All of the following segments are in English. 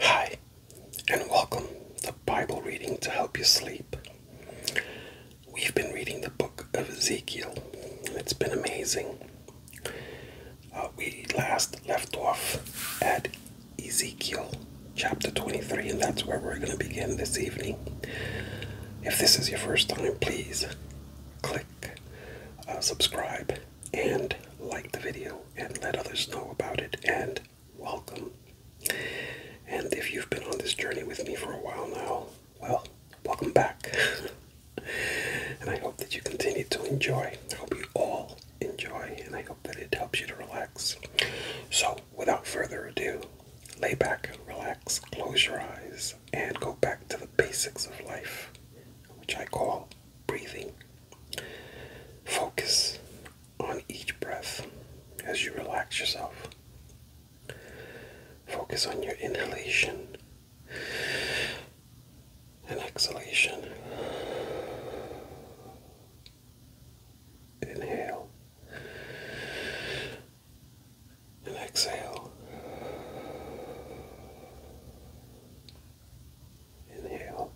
Hi, and welcome to Bible reading to help you sleep. We've been reading the book of Ezekiel, it's been amazing. Uh, we last left off at Ezekiel chapter 23, and that's where we're going to begin this evening. If this is your first time, please click uh, subscribe and like the video and let others know about it and welcome. And if you've been on this journey with me for a while now, well, welcome back. and I hope that you continue to enjoy. I hope you all enjoy and I hope that it helps you to relax. So, without further ado, lay back, relax, close your eyes, and go back to the basics of life which I call breathing. Focus on each breath as you relax yourself. Focus on your inhalation and exhalation. Inhale and exhale. Inhale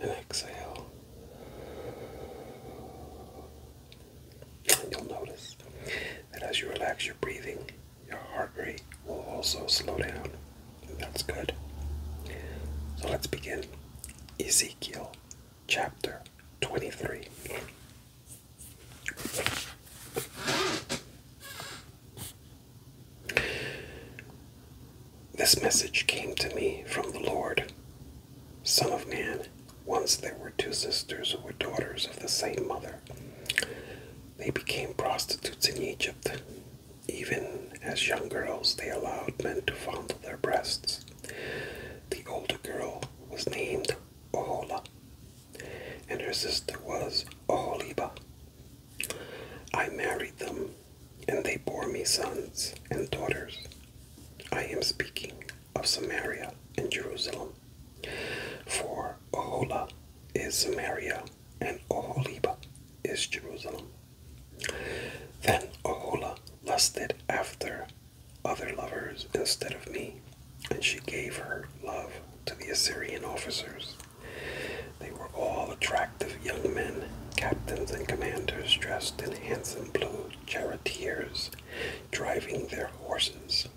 and exhale. And you'll notice that as you relax your breathing, your heart rate will also slow down. that's good. So let's begin. Ezekiel chapter 23. This message came to me from the Lord. Son of man, once there were two sisters who were daughters of the same mother. They became prostitutes in Egypt. Even as young girls, they allowed men to fondle their breasts. The older girl was named Oholah and her sister was Oholiba. I married them, and they bore me sons and daughters. I am speaking of Samaria and Jerusalem, for Ohola is Samaria, and Oholiba is Jerusalem. Then Ohola lusted after other lovers instead of me, and she gave her love to the Assyrian officers. They were all attractive young men, captains and commanders dressed in handsome blue charioteers, driving their horses.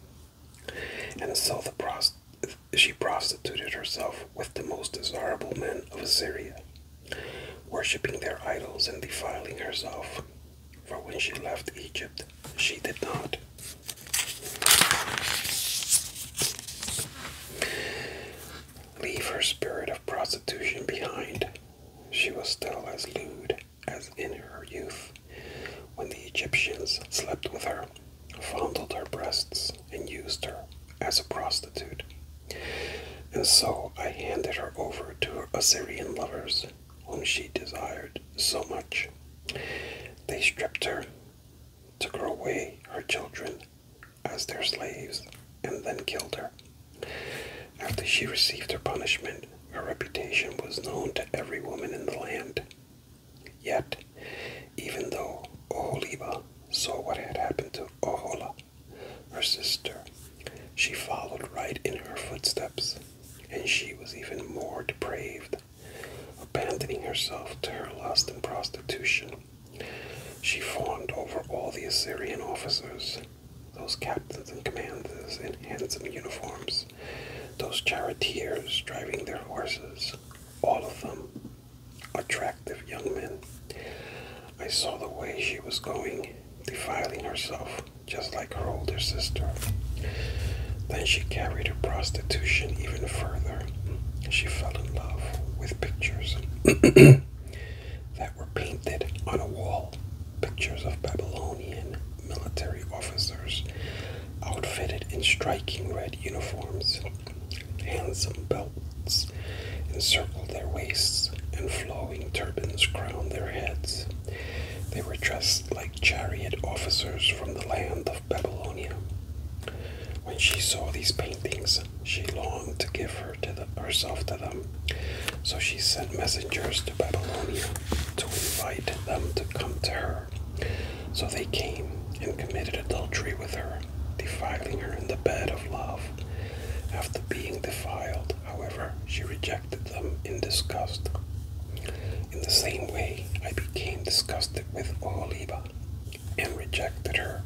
And so she prostituted herself with the most desirable men of Assyria, worshipping their idols and defiling herself. For when she left Egypt, she did not. Leave her spirit of prostitution behind. She was still as lewd as in her youth, when the Egyptians slept with her, fondled her breasts, and used her as a prostitute. And so I handed her over to Assyrian lovers, whom she desired so much. They stripped her, took her away, her children, as their slaves, and then killed her. After she received her punishment, her reputation was known to every woman in the land. Yet, even though Oholiba saw what had happened to Ohola, her sister, she followed right in her footsteps, and she was even more depraved. Abandoning herself to her lust and prostitution, she fawned over all the Assyrian officers, those captains and commanders in handsome uniforms, those charioteers driving their horses, all of them attractive young men. I saw the way she was going, defiling herself just like her older sister. Then she carried her prostitution even further. She fell in love with pictures that were painted on a wall. Pictures of Babylonian military officers outfitted in striking red uniforms. Handsome belts encircled their waists, and flowing turbans crowned their heads. They were dressed like chariot officers from the land Babylonia. When she saw these paintings, she longed to give herself to them. So she sent messengers to Babylonia to invite them to come to her. So they came and committed adultery with her, defiling her in the bed of love. After being defiled, however, she rejected them in disgust. In the same way, I became disgusted conversed with Oholiba and rejected her,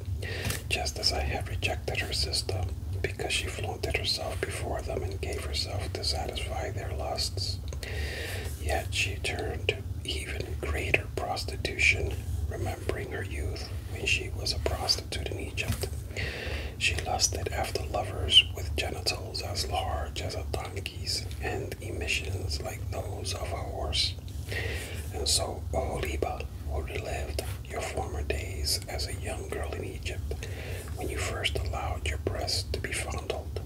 just as I had rejected her sister, because she flaunted herself before them and gave herself to satisfy their lusts. Yet she turned to even greater prostitution, remembering her youth when she was a prostitute in Egypt. She lusted after lovers with genitals as large as a donkey and emissions like those of a horse. And so O Oholiba, who lived your former days as a young girl in Egypt, when you first allowed your breast to be fondled.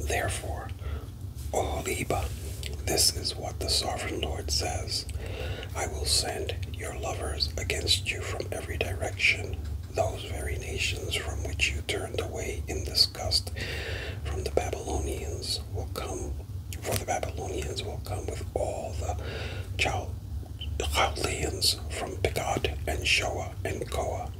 Therefore, O Oholiba, this is what the Sovereign Lord says I will send your lovers against you from every direction, those very nations from which you turned away in disgust from the Babylonians will come, for the Babylonians will come with all the Chaldeans from Pekod and Shoa and Koah,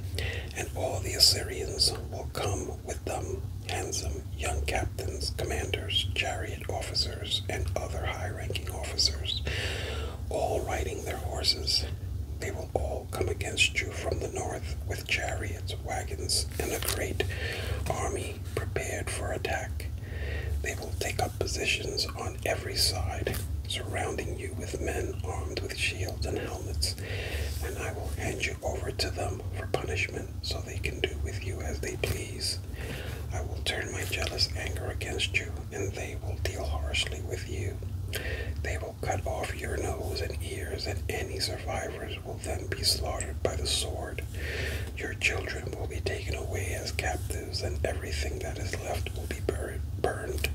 and all the Assyrians will come with them, handsome young captains, commanders, chariot officers, and other high-ranking officers, all riding their horses. They will all come against you from the north with chariots, wagons, and a great army prepared for attack. They will take up positions on every side, surrounding you with men armed with shields and helmets, and I will hand you over to them for punishment so they can do with you as they please. I will turn my jealous anger against you, and they will deal harshly with you. They will cut off your nose and ears, and any survivors will then be slaughtered by the sword. Your children will be taken away as captives, and everything that is left will be burned.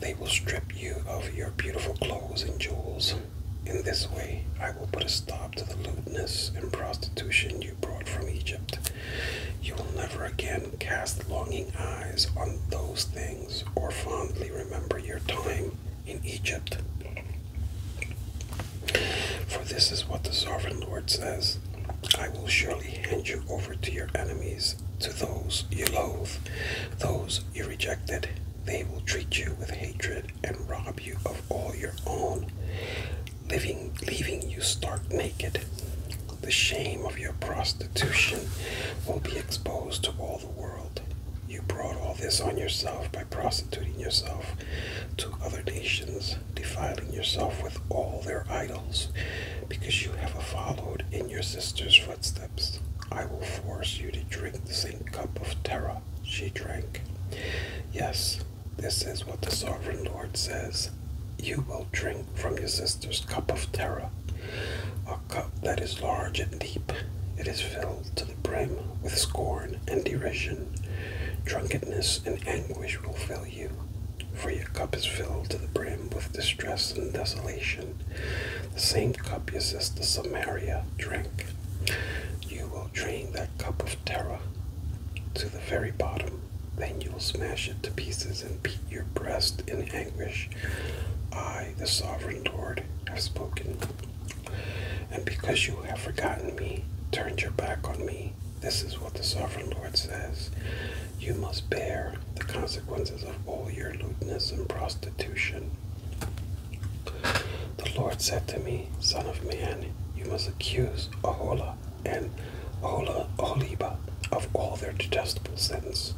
They will strip you of your beautiful clothes and jewels. In this way, I will put a stop to the lewdness and prostitution you brought from Egypt. You will never again cast longing eyes on those things or fondly remember your time in Egypt. For this is what the sovereign Lord says I will surely hand you over to your enemies, to those you loathe, those you rejected. They will treat you with hatred and rob you of all your own, leaving, leaving you stark naked. The shame of your prostitution will be exposed to all the world. You brought all this on yourself by prostituting yourself to other nations, defiling yourself with all their idols, because you have followed in your sister's footsteps. I will force you to drink the same cup of terror she drank. Yes, this is what the Sovereign Lord says. You will drink from your sister's ancestors' cup of terror, a cup that is large and deep. It is filled to the brim with scorn and derision. Drunkenness and anguish will fill you, for your cup is filled to the brim with distress and desolation. The same cup your sister Samaria drink. You will drain that cup of terror to the very bottom. Then you will smash it to pieces and beat your breast in anguish. I, the sovereign Lord, have spoken. And because you have forgotten me, turned your back on me, this is what the sovereign Lord says. You must bear the consequences of all your lewdness and prostitution. The Lord said to me, Son of man, you must accuse Ahola and Ahola, Oliba of all their detestable sins.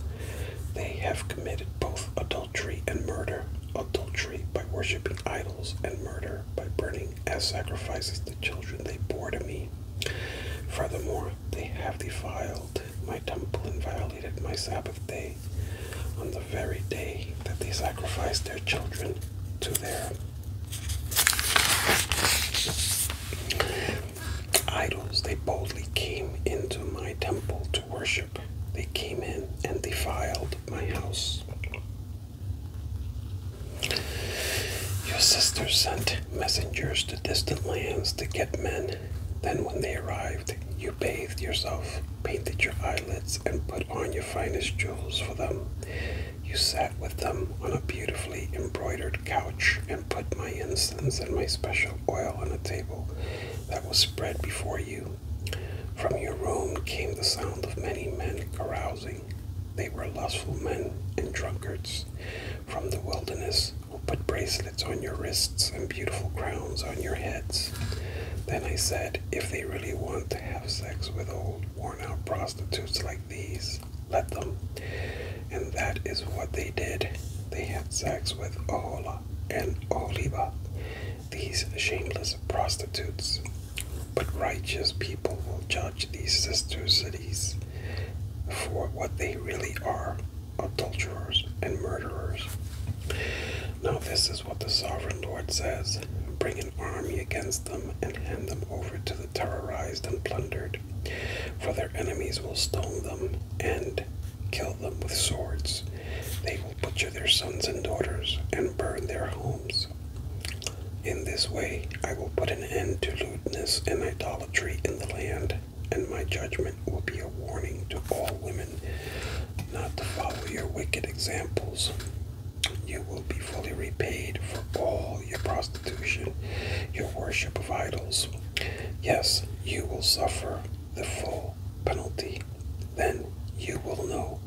They have committed both adultery adultery and murder, adultery by worshipping idols, and murder by burning as sacrifices the children they bore to me. Furthermore, they have defiled my temple and violated my Sabbath day on the very day that they sacrificed their children to their idols. They boldly came into my temple to worship. They came in and defiled my house. Your sister sent messengers to distant lands to get men. Then, when they arrived, you bathed yourself, painted your eyelids, and put on your finest jewels for them. You sat with them on a beautifully embroidered couch and put my incense and my special oil on a table that was spread before you. From your room came the sound of many men carousing. They were lustful men and drunkards from the wilderness who put bracelets on your wrists and beautiful crowns on your heads. Then I said, if they really want to have sex with old, worn out prostitutes like these, let them. And that is what they did. They had sex with Ahola, and Oliva, these shameless prostitutes. But righteous people will judge these sister cities for what they really are adulterers and murderers. Now, this is what the sovereign Lord says Bring an army against them and hand them over to the terrorized and plundered, for their enemies will stone them and Kill them with swords. They will butcher their sons and daughters and burn their homes. In this way I will put an end to lewdness and idolatry in the land, and my judgment will be a warning to all women not to follow your wicked examples. You will be fully repaid for all your prostitution, your worship of idols. Yes, you will suffer the full penalty, then you will know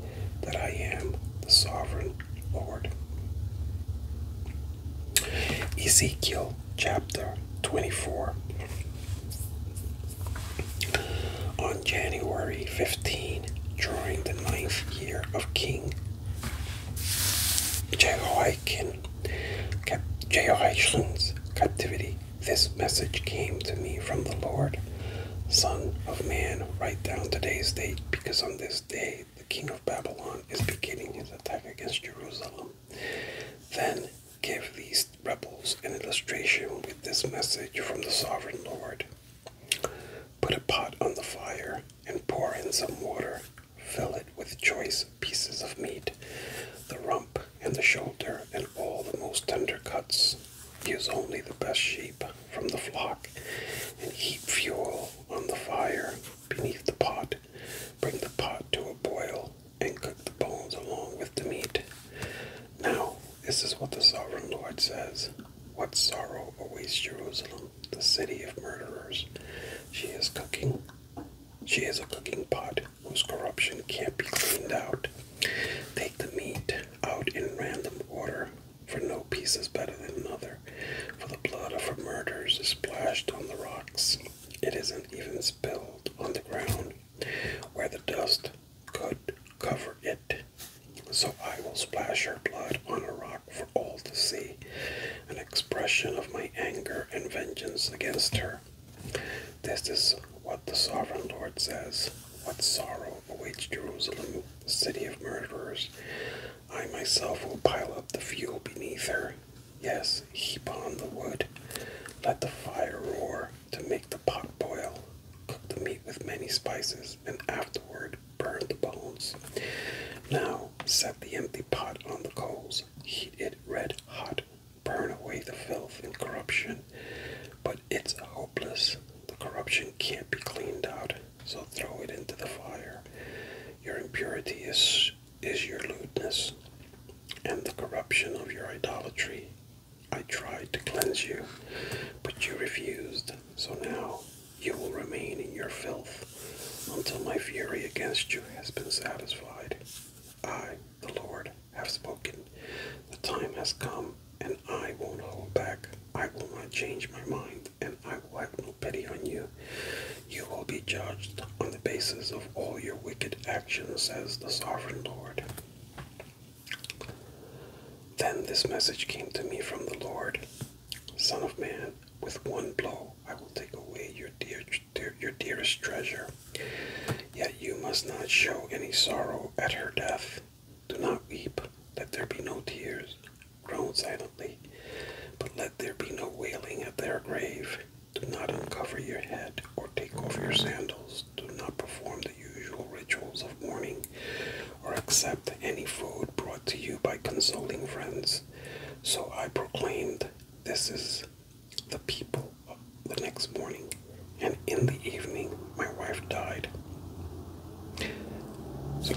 that I am the sovereign Lord. Ezekiel chapter 24. On January 15, during the ninth year of King Jehoiakim, Jehoiachin's captivity, this message came to me from the Lord. Son of man, write down today's date, because on this day the king of Babylon is beginning his attack against Jerusalem. Then give these rebels an illustration with this message from the sovereign Lord. Put a pot on the fire and pour in some water. Fill it with choice pieces of meat, the rump, and the shoulder, and all the most tender cuts. Use only the best sheep from the flock, and heap fuel on the fire beneath the pot. Bring the pot to a boil, and cook the bones along with the meat. Now, this is what the sovereign Lord says. What sorrow awaits Jerusalem, the city of murderers. She is cooking. She is a cooking pot whose corruption can't be cleaned out. Take the meat out in random order, for no piece is better than another, for the blood of her murders is splashed on the rocks. It isn't even spilled on the ground, where the dust could cover it. So I will splash her blood on a rock for all to see, an expression of my anger and vengeance against her. This is what the sovereign Lord says. What sorrow awaits Jerusalem, the city of murderers. I myself will pile up the fuel beneath her. Yes, heap on the wood. Let the fire roar to make the pot boil. Cook the meat with many spices, and afterward burn the bones. Now set the empty pot on the coals. Heat it red hot burn away the filth and corruption, but it's hopeless. The corruption can't be cleaned out, so throw it into the fire. Your impurity is, is your lewdness, and the corruption of your idolatry. I tried to cleanse you, but you refused, so now you will remain in your filth until my fury against you has been satisfied. I, the Lord, have spoken. The time has come, and I won't hold back. I will not change my mind, and I will have no pity on you. You will be judged on the basis of all your wicked actions, says the Sovereign Lord. Then this message came to me from the Lord Son of man, with one blow I will take away your, dear, your dearest treasure Yet you must not show any sorrow at her death. Do not weep, let there be no tears, groan silently, but let there be no wailing at their grave. Do not uncover your head or take off your sandals. Do not perform the usual rituals of mourning or accept any food brought to you by consoling friends. So I proclaimed, This is the people the next morning, and in the evening, my wife died. So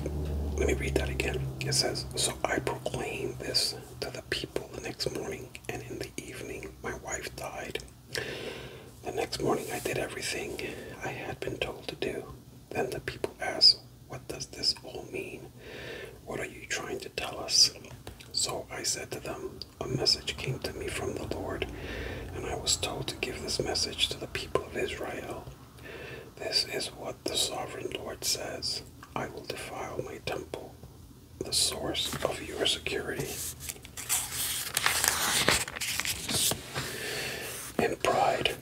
let me read that again. It says, So I proclaimed this to the people the next morning, and in the evening, my wife died. The next morning, I did everything I had been told to do. Then the people asked, What does this all mean? What are you trying to tell us? So I said to them, a message came to me from the Lord, and I was told to give this message to the people of Israel. This is what the sovereign Lord says I will defile my temple, the source of your security. and pride,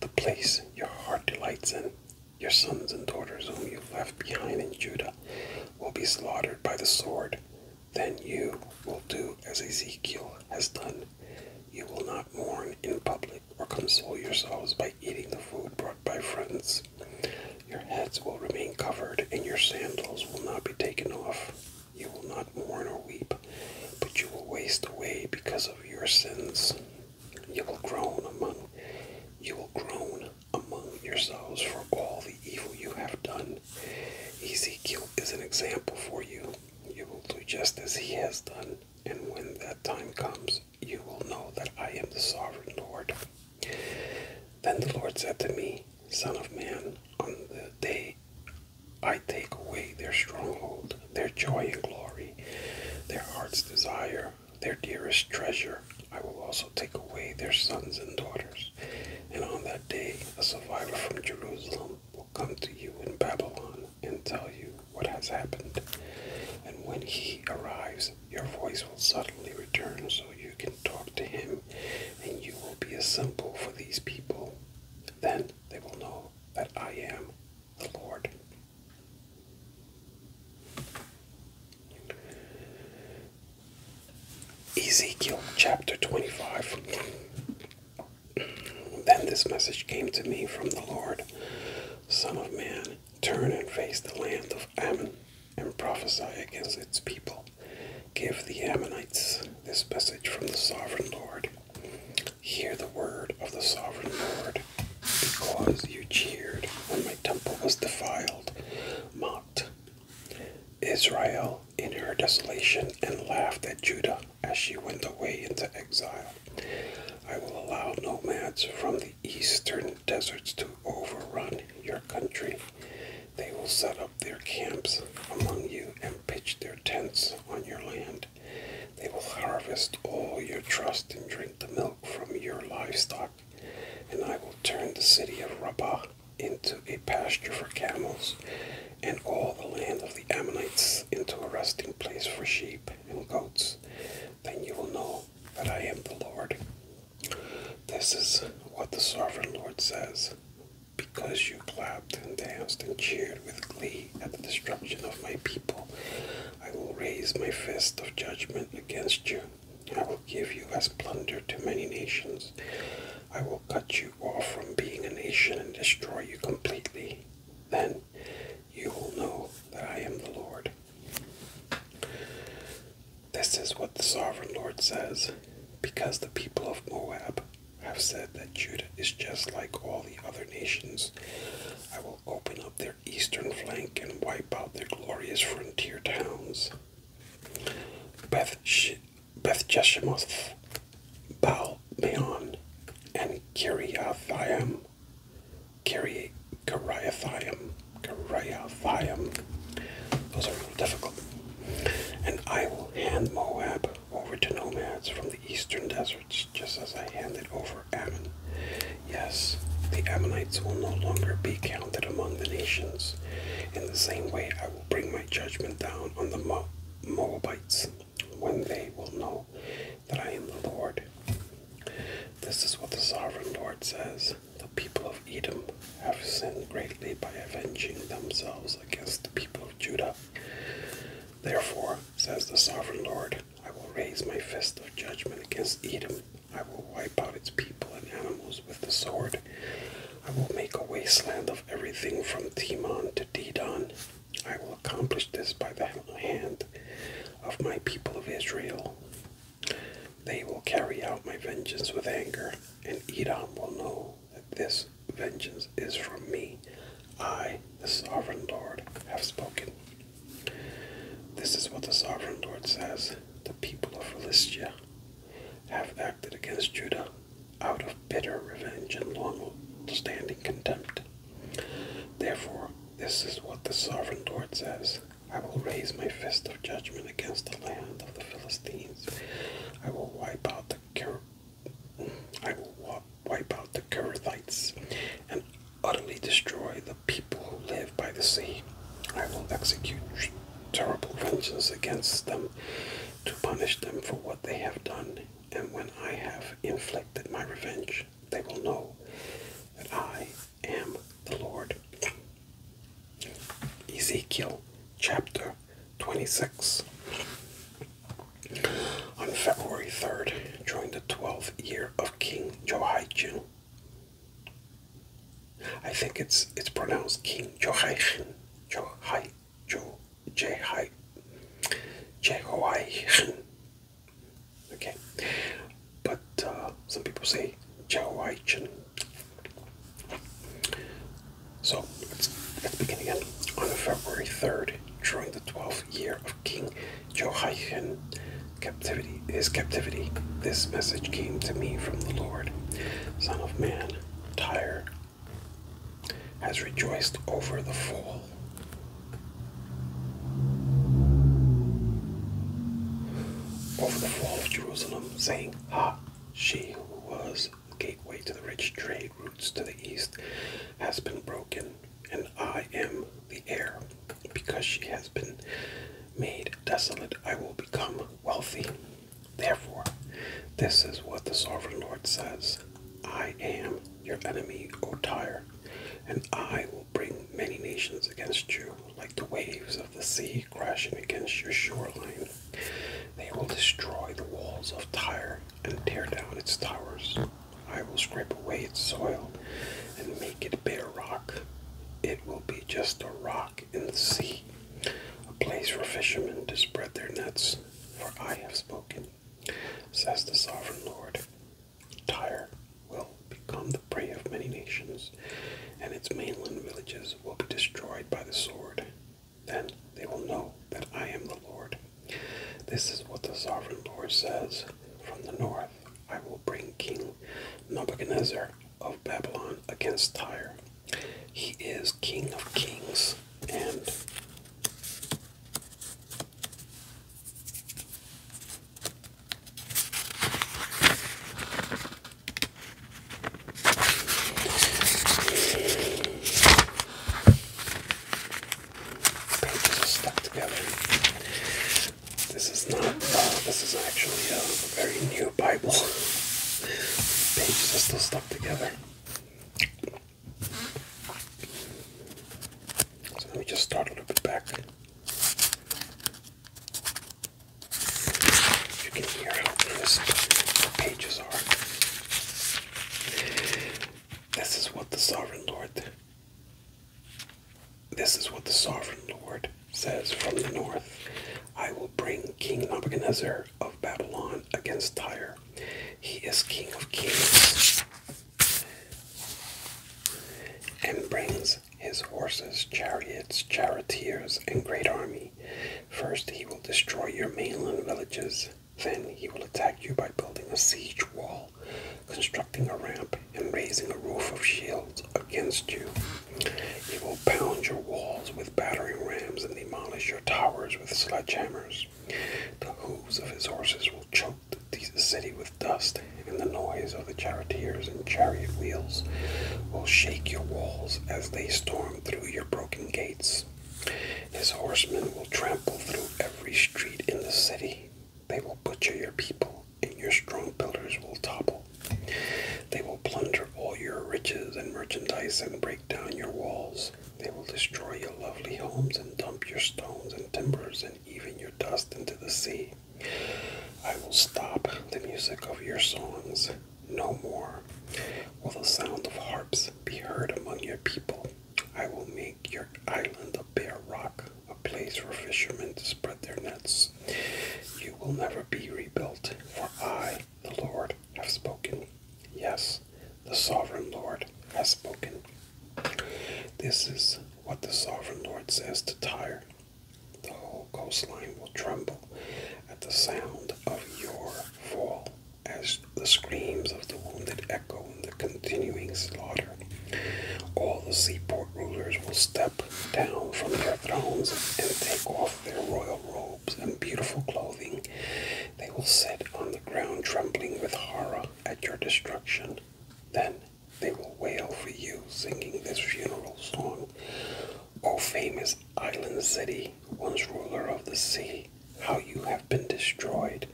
the place your heart delights in, your sons and daughters whom you left behind in Judah will be slaughtered by the sword, then you will do as Ezekiel has done. You will not mourn in public or console yourselves by eating the food brought by friends. Your heads will remain covered, and your sandals will not be taken off. You will not mourn or weep, but you will waste away because of your sins. You will groan among you will groan among yourselves for all the evil you have done. Ezekiel is an example for you. You will do just as he has done, and when that time comes, you will know that I am the sovereign Lord. Then the Lord said to me, Son of man, on the day I take away their stronghold, their joy and glory, their heart's desire, their dearest treasure, I will also take away their sons and daughters. And on that day, a survivor from Jerusalem will come to you in Babylon and tell you what has happened. And when he arrives, your voice will suddenly return so you can talk to him, and you will be a symbol for these people. Then they will know that I am the Lord. Ezekiel chapter 25. Then this message came to me from the Lord Son of man, turn and face the land of Ammon and prophesy against its people. Give the Ammonites this message from the sovereign Lord. Hear the word of the sovereign Lord. Because you cheered when my temple was defiled, mocked Israel in her desolation and laughed at Judah as she went away into exile. I will allow nomads from the eastern deserts to overrun your country. They will set up their camps among you and pitch their tents on your land. They will harvest all your trust and drink the milk from your livestock. And I will turn the city of Rabbah into a pasture for camels, and all the land of the Ammonites into a resting place for sheep and goats, then you will know that I am the Lord. This is what the sovereign Lord says. Because you clapped and danced and cheered with glee at the destruction of my people, I will raise my fist of judgment against you. I will give you as plunder to many nations. I will cut you off from being a nation and destroy you completely. Then you will know that I am the Lord. This is what the sovereign Lord says because the people of Moab have said that Judah is just like all the other nations. I will open up their eastern flank and wipe out their glorious frontier towns. Beth Beth Jeshimoth, Baal Meon, and Kiriathaim. Kiri Kiriathaim. Kiriathaim. Those are a difficult. And I will hand Moab over to nomads from the eastern deserts, just as I handed over Ammon. Yes, the Ammonites will no longer be counted among the nations. In the same way, bring my judgment down on the Moabites when they will know that I am the Lord. This is what the sovereign Lord says The people of Edom have sinned greatly by avenging themselves against the people of Judah. Therefore, says the sovereign Lord, I will raise my fist of judgment against Edom. I will wipe out its people and animals with the sword. I will make a wasteland of everything from Timon to Dedan. I will accomplish this by the hand of my people of Israel. They will carry out my vengeance with anger, and Edom will know that this vengeance is from me. I, the sovereign Lord, have spoken. This is what the sovereign Lord says The people of Philistia have against Judah out of bitter revenge and long standing contempt. Therefore, this is what the sovereign Lord says I will raise my fist of judgment against the land of the Philistines. I will wipe out the Ker I will wipe out the Kerethites and utterly destroy the people who live by the sea. I will execute terrible vengeance against them to punish them for what they have done. And when I have inflicted my revenge, they will know that I am the Lord. Ezekiel chapter 26. On February 3rd, during the 12th year of King Jehoiachin, I think it's it's pronounced King Jehoiachin, Johai, Joe Jehai Jehoiachin. Okay, but uh, some people say Jehoiachin. So let's, begin again. On February 3rd, during the 12th year of King Jehoiachin captivity, his captivity, this message came to me from the Lord, Son of man, tire has rejoiced over the fall. Over the fall of Jerusalem, saying, Ha, she who was the gateway to the rich trade routes to the east has been broken, and I am the heir. Because she has been made desolate, I will become wealthy. Therefore, this is what the sovereign Lord says I am your enemy, O Tyre, and I will bring many nations against you, like the waves of the sea crashing against your shoreline. They will destroy the walls of Tyre and tear down its towers. I will scrape away its soil and make it bare rock. It will be just a rock in the sea a place for fishermen to spread their nets, for I have spoken, says the sovereign Lord. Tyre will become the prey of many nations, and its mainland villages will be destroyed by the sword. Then they will know that I am the Lord. This is what the sovereign Lord says From the north I will bring King Nebuchadnezzar of Babylon against Tyre he is King of Kings and pages are stuck together. This is not, uh, this is actually a very new Bible. pages are still stuck together let me just start a little bit back. You can hear how crisp the pages are. This is what the sovereign lord. This is what the sovereign lord says from the north. I will bring King Nebuchadnezzar of Babylon against Tyre. He is King of kings and brings his horses, chariots, charioteers, and great army. First he will destroy your mainland villages. Then he will attack you by building a siege wall, constructing a ramp, and raising a roof of shields against you. He will pound your walls with battering rams and demolish your towers horses with sledgehammers. The hoofs of his horses will choke the city with dust, and the noise of the charioteers and chariot wheels will shake your walls as they storm through your broken gates. His horsemen will trample through every street in the city. They will butcher your people, and your strong pillars will topple. They will plunder all your riches and merchandise and break down your walls. They will destroy your lovely homes and dump your stones and timbers and even your dust into the sea. I will stop the music of your songs no more. Will the sound of harps be heard among your people? I will make your island a bare rock, a place for fishermen to spread their nets. You will never be rebuilt, for I, the Lord, have spoken. Yes, the sovereign Lord has spoken. This is what the sovereign Lord says to Tyre. The whole coastline will tremble at the sound of your fall, as the screams of the wounded echo in the continuing slaughter. All the seaport rulers will step down from their thrones and take off their royal robes and beautiful clothing, they will sit on the ground trembling with horror at your destruction. Then they will wail for you, singing this funeral song. O famous island city, once ruler of the sea, how you have been destroyed.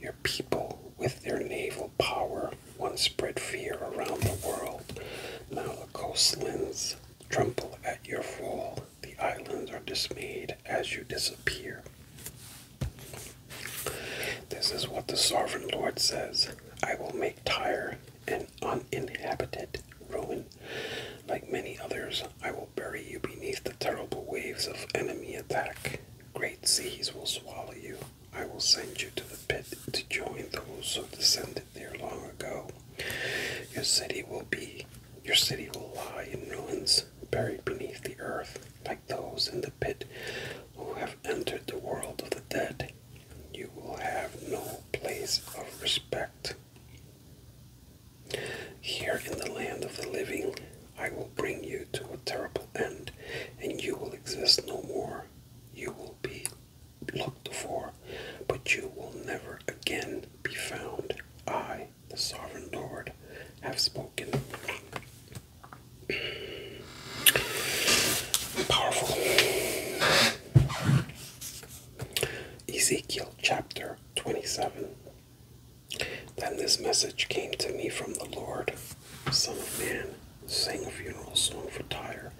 Your people, with their naval power, once spread fear around the world. Now the coastlands tremble at your fall. The islands are dismayed as you disappear. This is what the sovereign Lord says I will make Tyre an uninhabited ruin. Like many others, I will bury you beneath the terrible waves of enemy attack. Great seas will swallow you. I will send you to the pit to join those who descended there long ago. Your city will be your city will lie in ruins, buried beneath the earth, like those in the pit who have entered the world of the dead. You will have no place of respect. Here in the land of the living, I will bring you to a terrible end, and you will exist no more. You will be looked for, but you will never again be found. I the sovereign Lord, have spoken. Powerful. Ezekiel chapter 27. Then this message came to me from the Lord Son of Man, sing a funeral song for Tyre,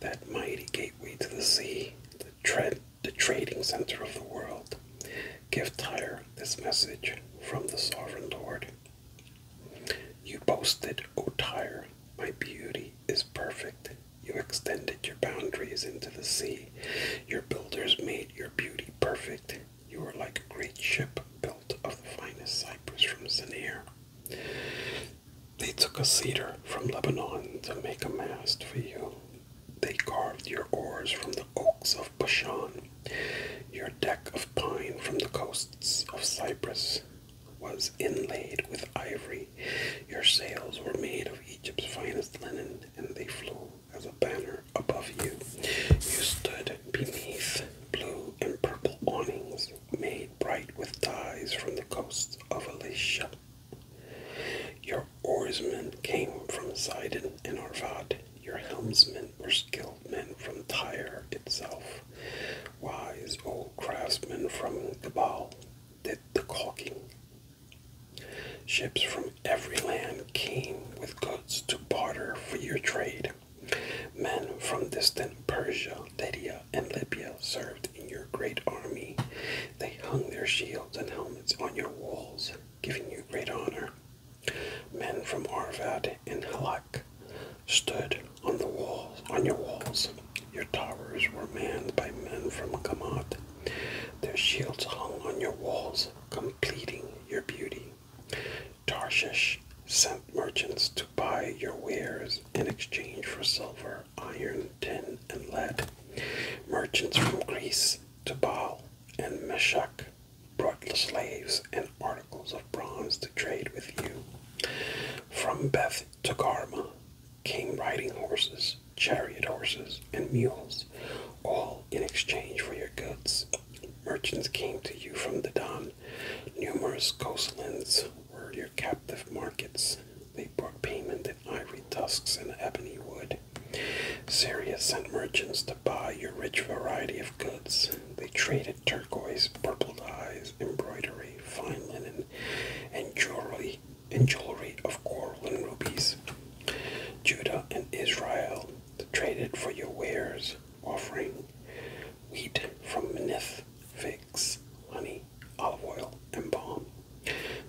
that mighty gateway to the sea, the tread the trading center of the world. Give Tyre this message from the sovereign Lord. You boasted, O Tyre, my beauty is perfect. You extended your boundaries into the sea. Your builders made your beauty perfect. You are like a great ship built of the finest cypress from Sinir. They took a cedar from Lebanon to make a mast for you they carved your oars from the oaks of Bashan. Your deck of pine from the coasts of Cyprus was inlaid with ivory. Your sails were made of Egypt's finest linen, and they flew as a banner above you. You stood beneath blue and purple awnings made bright with dyes from the coasts of Alicia. Your oarsmen came from Sidon and Arvad. Your helmsmen were skilled men from Tyre itself. Wise old craftsmen from Gabal did the caulking. Ships from every land came with goods to barter for your trade. Men from distant Persia, Lydia, and Libya served in your great army. They hung their shields and helmets on your walls giving you great honor. Men from Arvad and Halak stood on the walls on your walls. Your towers were manned by men from Gamat. Their shields hung on your walls, completing your beauty. Tarshish sent merchants to buy your wares in exchange for silver, iron, tin, and lead. Merchants from Greece to Baal and Meshach brought slaves and articles of bronze to trade with you. From Beth to Garma came riding horses, chariot horses, and mules, all in exchange for your goods. Merchants came to you from the dawn. Numerous coastlands were your captive markets. They brought payment in ivory tusks and ebony wood, Syria sent merchants to buy your rich variety of goods. They traded turquoise, purple dyes, embroidery, fine linen, and jewelry, and jewelry of coral and rubies. Judah and Israel traded for your wares, offering wheat from Manith, figs, honey, olive oil, and palm.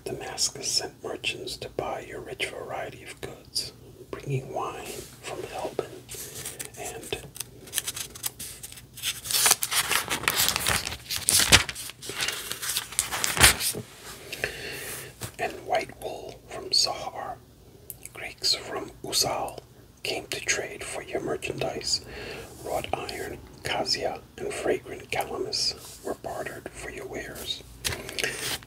Damascus sent merchants to buy your rich variety of goods bringing wine from Helbin and and white wool from Sahar. Greeks from Usal came to trade for your merchandise. Wrought iron, cassia, and fragrant calamus were bartered for your wares.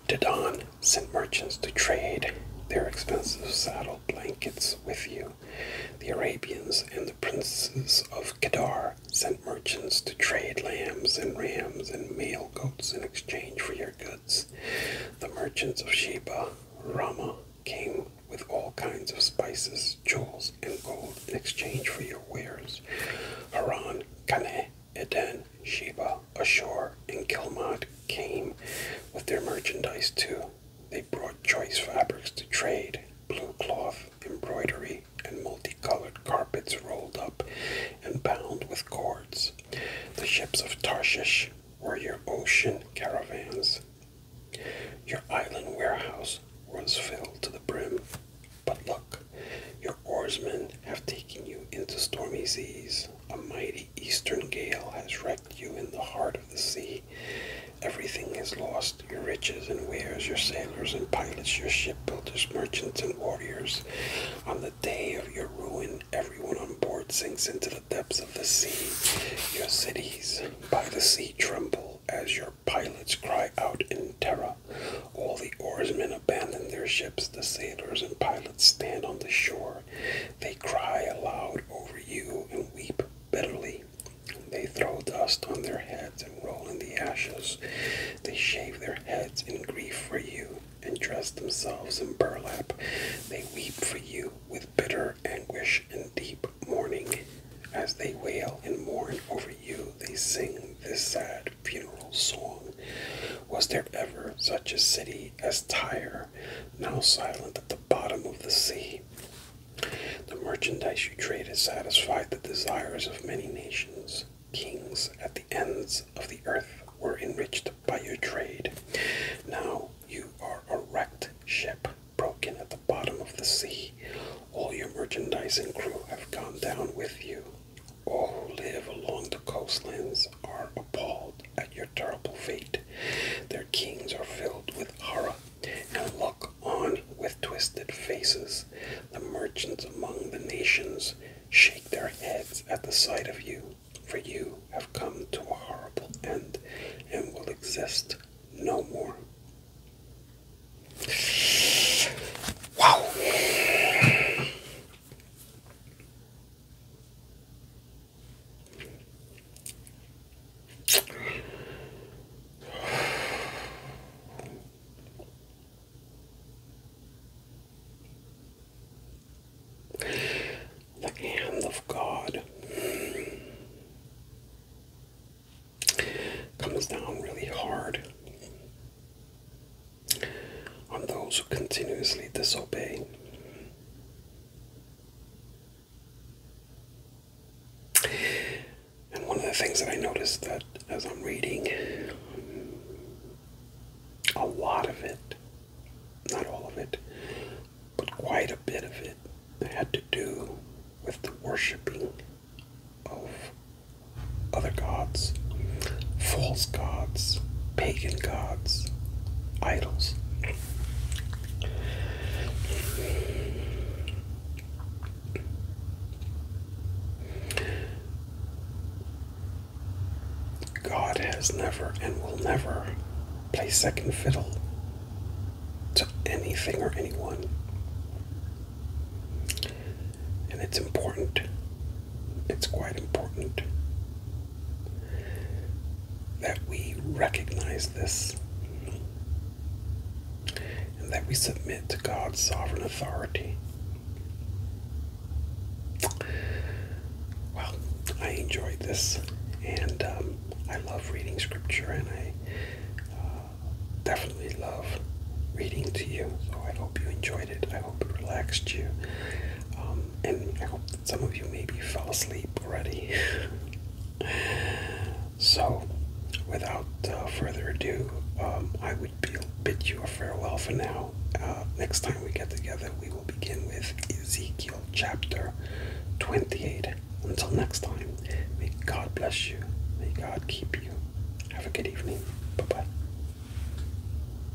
Dadan sent merchants to trade their expensive saddle blankets with you. The Arabians and the princes of Kedar sent merchants to trade lambs and rams and male goats in exchange for your goods. The merchants of Sheba, Rama, came with all kinds of spices, jewels, and gold in exchange for your wares. Haran, Kaneh, and then Sheba ashore and Kilmot came with their merchandise too. They brought choice fabrics to trade, blue cloth, embroidery, and multicolored carpets rolled up and bound with cords. The ships of Tarshish were your ocean caravans. Your island warehouse was filled to the brim. But look, your oarsmen have taken you into stormy seas. A mighty eastern gale has wrecked you in the heart of the sea. Everything is lost your riches and wares, your sailors and pilots, your shipbuilders, merchants, and warriors. On the day of your ruin, everyone on board sinks into the depths of the sea. Your cities by the sea tremble as your pilots cry out in terror. All the oarsmen abandon their ships. The sailors and pilots stand on the shore. They cry aloud over you and weep bitterly. They throw dust on their heads and roll in the ashes. They shave their heads in grief for you and dress themselves in burlap. They weep for you with bitter anguish and deep mourning. As they wail and mourn over you, they sing this sad funeral song. Was there ever such a city as Tyre, now silent at the bottom of the sea? The merchandise you traded satisfied the desires of many nations. Kings at the ends of the earth were enriched by your trade. Now you are a wrecked ship, broken at the bottom of the sea. All your merchandise and crew have gone down with you all who live along the coastlands are appalled at your terrible fate. Their kings are filled with horror and look on with twisted faces. The merchants among the nations shake their heads at the sight of you, for you have come to a horrible end and will exist no more. Wow. The hand of God comes down really hard on those who continuously disobey. And one of the things that I noticed that as I'm reading, a lot of it, not all of it, but quite a bit of it had to do with the worshiping of other gods, false gods, pagan gods, idols. God has never and will never play second fiddle to anything or anyone. And it's important it's quite important that we recognize this and that we submit to God's sovereign authority. Well, I enjoyed this, and um, I love reading scripture, and I uh, definitely love reading to you. So I hope you enjoyed it. I hope it relaxed you. Um, and I hope some of you maybe fell asleep already. so, without uh, further ado, um, I would bid you a farewell for now. Uh, next time we get together, we will begin with Ezekiel chapter 28. Until next time, may God bless you. May God keep you. Have a good evening. Bye bye.